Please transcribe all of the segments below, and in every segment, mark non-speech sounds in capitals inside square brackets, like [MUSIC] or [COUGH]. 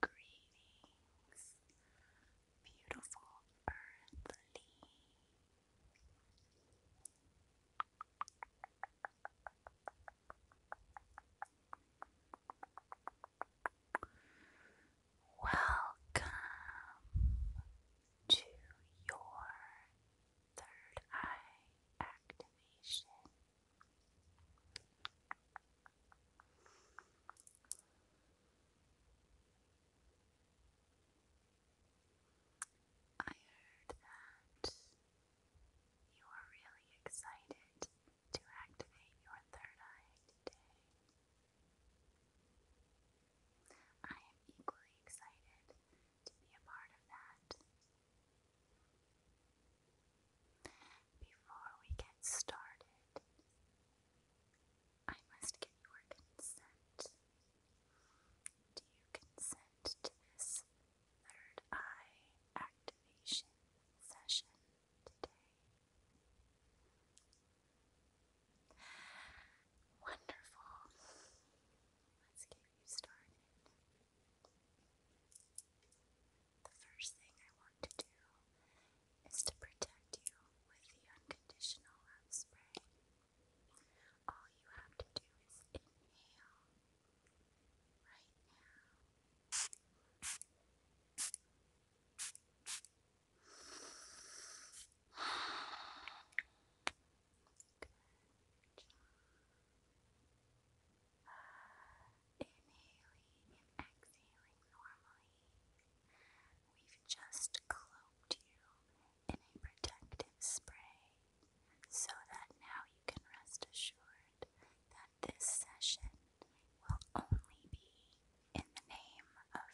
Greetings, beautiful earthly. Welcome to your third eye activation. I heard that you are really excited to activate your third eye today. I am equally excited to be a part of that. Before we get started, I must get your consent. Do you consent to this third eye activation session? today. Wonderful. Let's get you started. The first thing I want to do is to protect you with the unconditional love spray. All you have to do is inhale right now. Good Inhaling exhaling normally. We've just cloaked you in a protective spray so that now you can rest assured that this session will only be in the name of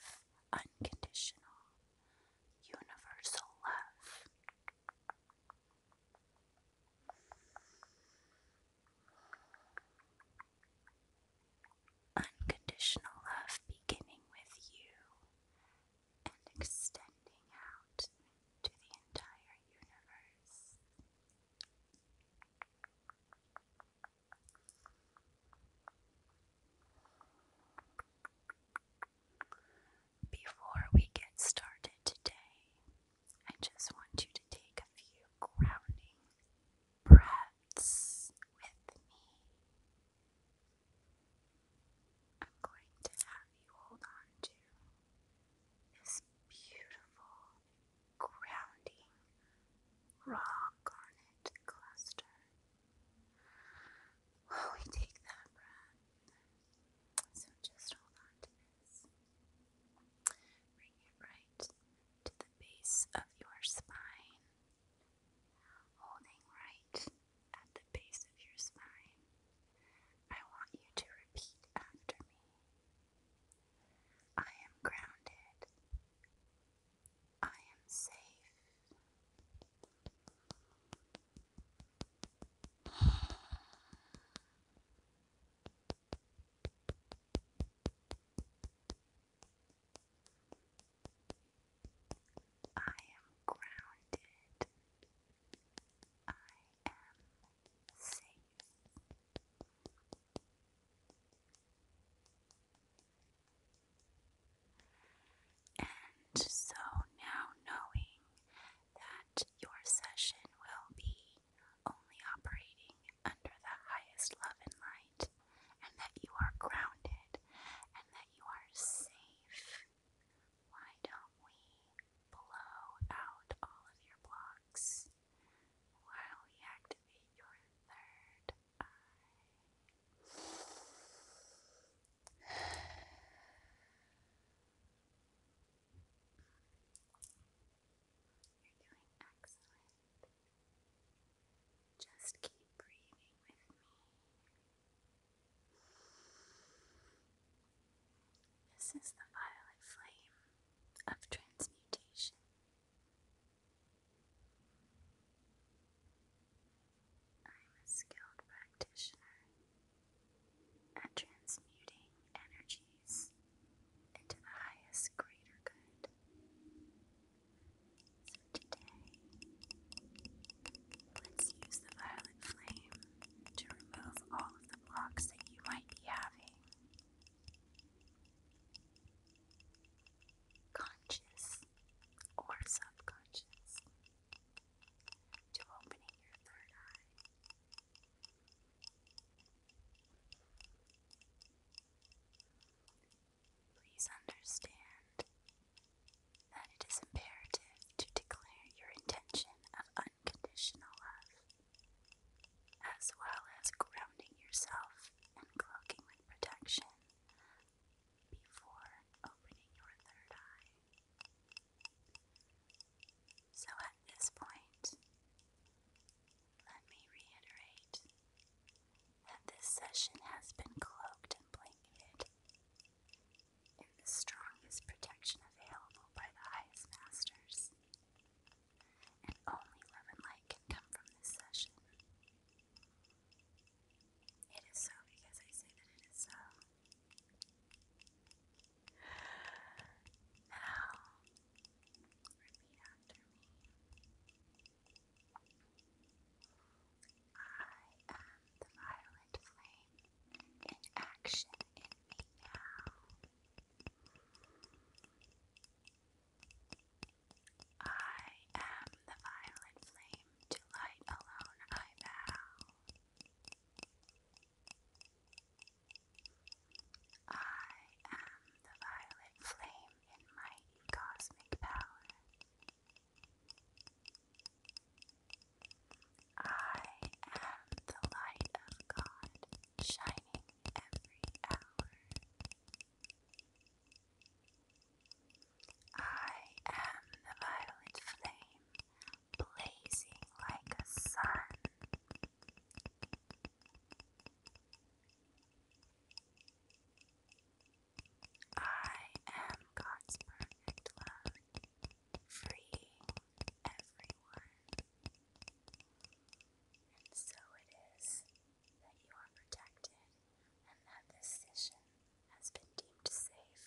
unconditional, universal love. Unconditional love beginning with you and extending out to the entire universe before we get started today, I just want you to take a few grounding breaths with me. I'm going to have you hold on to this beautiful grounding raw garnet cluster. we take that so just hold on to this. Bring it right to the base of your spine, holding right at the base of your spine. I want you to repeat after me. I am grounded. I am safe. I am grounded. I I And so now knowing that your session will be only operating under the highest love and light, and that you are grounded, and that you are safe, why don't we blow out all of your blocks while we activate your third eye. You're doing excellent. Just keep breathing with me. This is the violet flame of transmutation. I am a skilled practitioner at transmuting energies into the highest greater good. So today, let's use the violet flame to remove all of the blocks that you might be having conscious or subconscious to opening your third eye. Please understand that it is imperative to declare your intention of unconditional love, as well as grounding yourself and cloaking with protection before opening your third eye. So at this point, let me reiterate that this session has been cloaked and blanketed in the strongest protection available by the highest masters and only love and light can come from this session. It is so because I say that it is so. Now, repeat after me. I am the violet flame in action in me now. I am the violet flame, to light alone I bow. I am the violet flame in mighty cosmic power. I am the light of God shining every hour. I am the violet flame, blazing like a sun. I am God's perfect love, freeing everyone. And so it is that you are protected and that this session has been deemed safe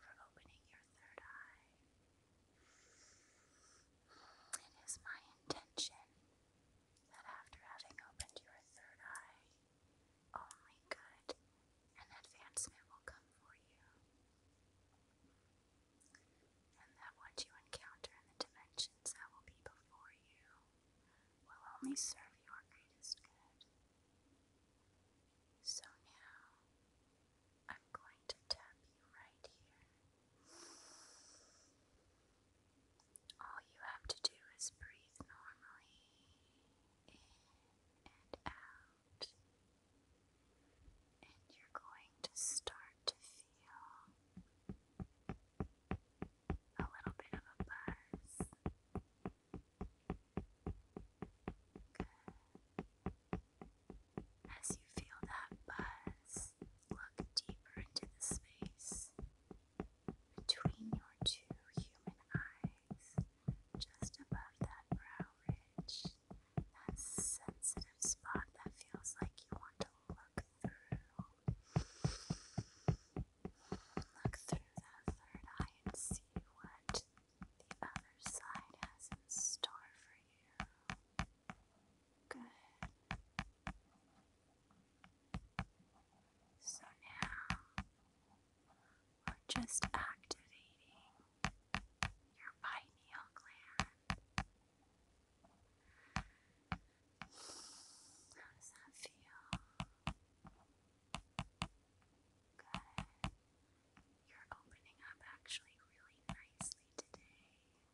for opening your third eye. It is my intention that after having opened your third eye, only good and advancement will come for you and that what you encounter in the dimensions that will be before you will only serve your greatest good. So now, I'm going to tap you right here. All you have to do is breathe normally in and out and you're going to start to feel a little bit of a buzz. Good. As you feel that buzz, look deeper into the space between your two human eyes, just above that brow ridge that sensitive spot that feels like you want to look through. Look through that third eye and see what the other side has in store for you. Good. So now we're just activating your pineal gland. How does that feel? Good. You're opening up actually really nicely today.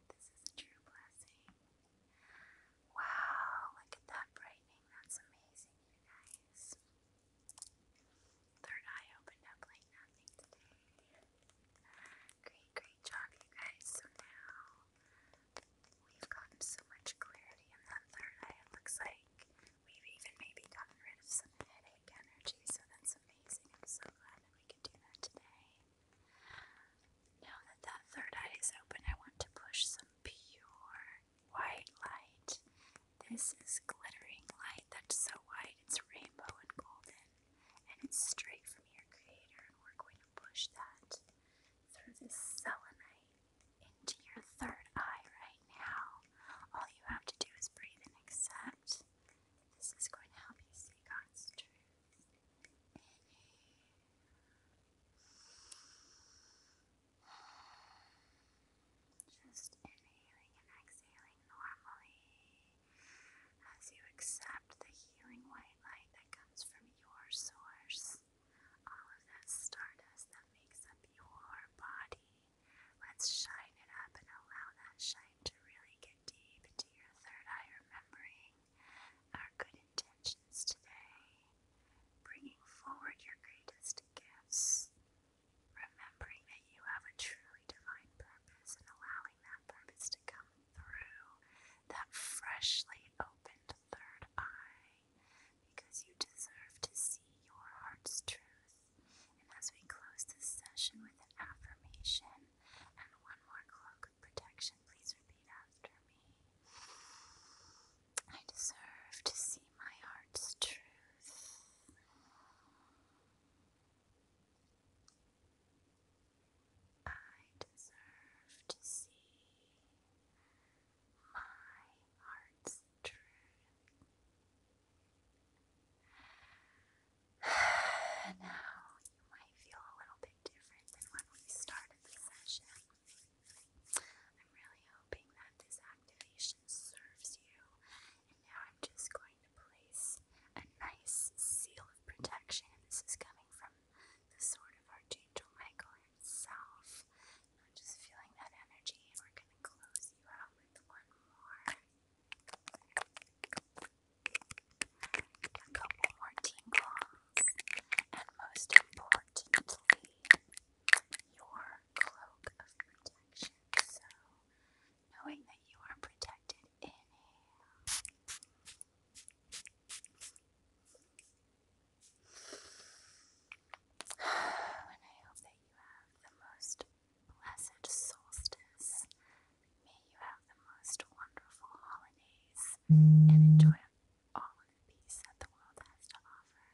This is a true blessing. Wow, look at that brightening. That's amazing, you guys third eye opened up like nothing today. Great, great job, you guys. So now we've gotten so much clarity in that third eye. It looks like we've even maybe gotten rid of some headache energy, so that's amazing. I'm so glad that we could do that today. Now that that third eye is open, I want to push some pure white light. This is glittering light that's so white, it's rainbow and golden and it's straight from your creator, and we're going to push that through this selenite into your third eye right now. All you have to do is breathe and accept. This is going to help you see God's truth. Just inhaling and exhaling normally. As you accept the healing white light that comes from your source, all of that stardust that makes up your body, let's shine it up and allow that shine to really get deep into your third eye, remembering our good intentions today, bringing forward your greatest gifts remembering that you have a truly divine purpose and allowing that purpose to come through that freshly opened third eye because you deserve to see your heart's truth. And as we close this session with an affirmation and one more cloak of protection, please repeat after me. I deserve to see my heart's truth. I deserve to see my heart's truth. [SIGHS] now you might feel a little bit different than when we started the session. I'm really hoping that this activation serves you, and now I'm just going to place. A nice seal of protection. This is coming from the sword of Archangel Michael himself. just feeling that energy. We're going to close you out with one more. couple more tingles. And most importantly, your cloak of protection. So, knowing that you are protected. Inhale. and I hope that you have the most blessed solstice. May you have the most wonderful holidays and enjoy all the peace that the world has to offer.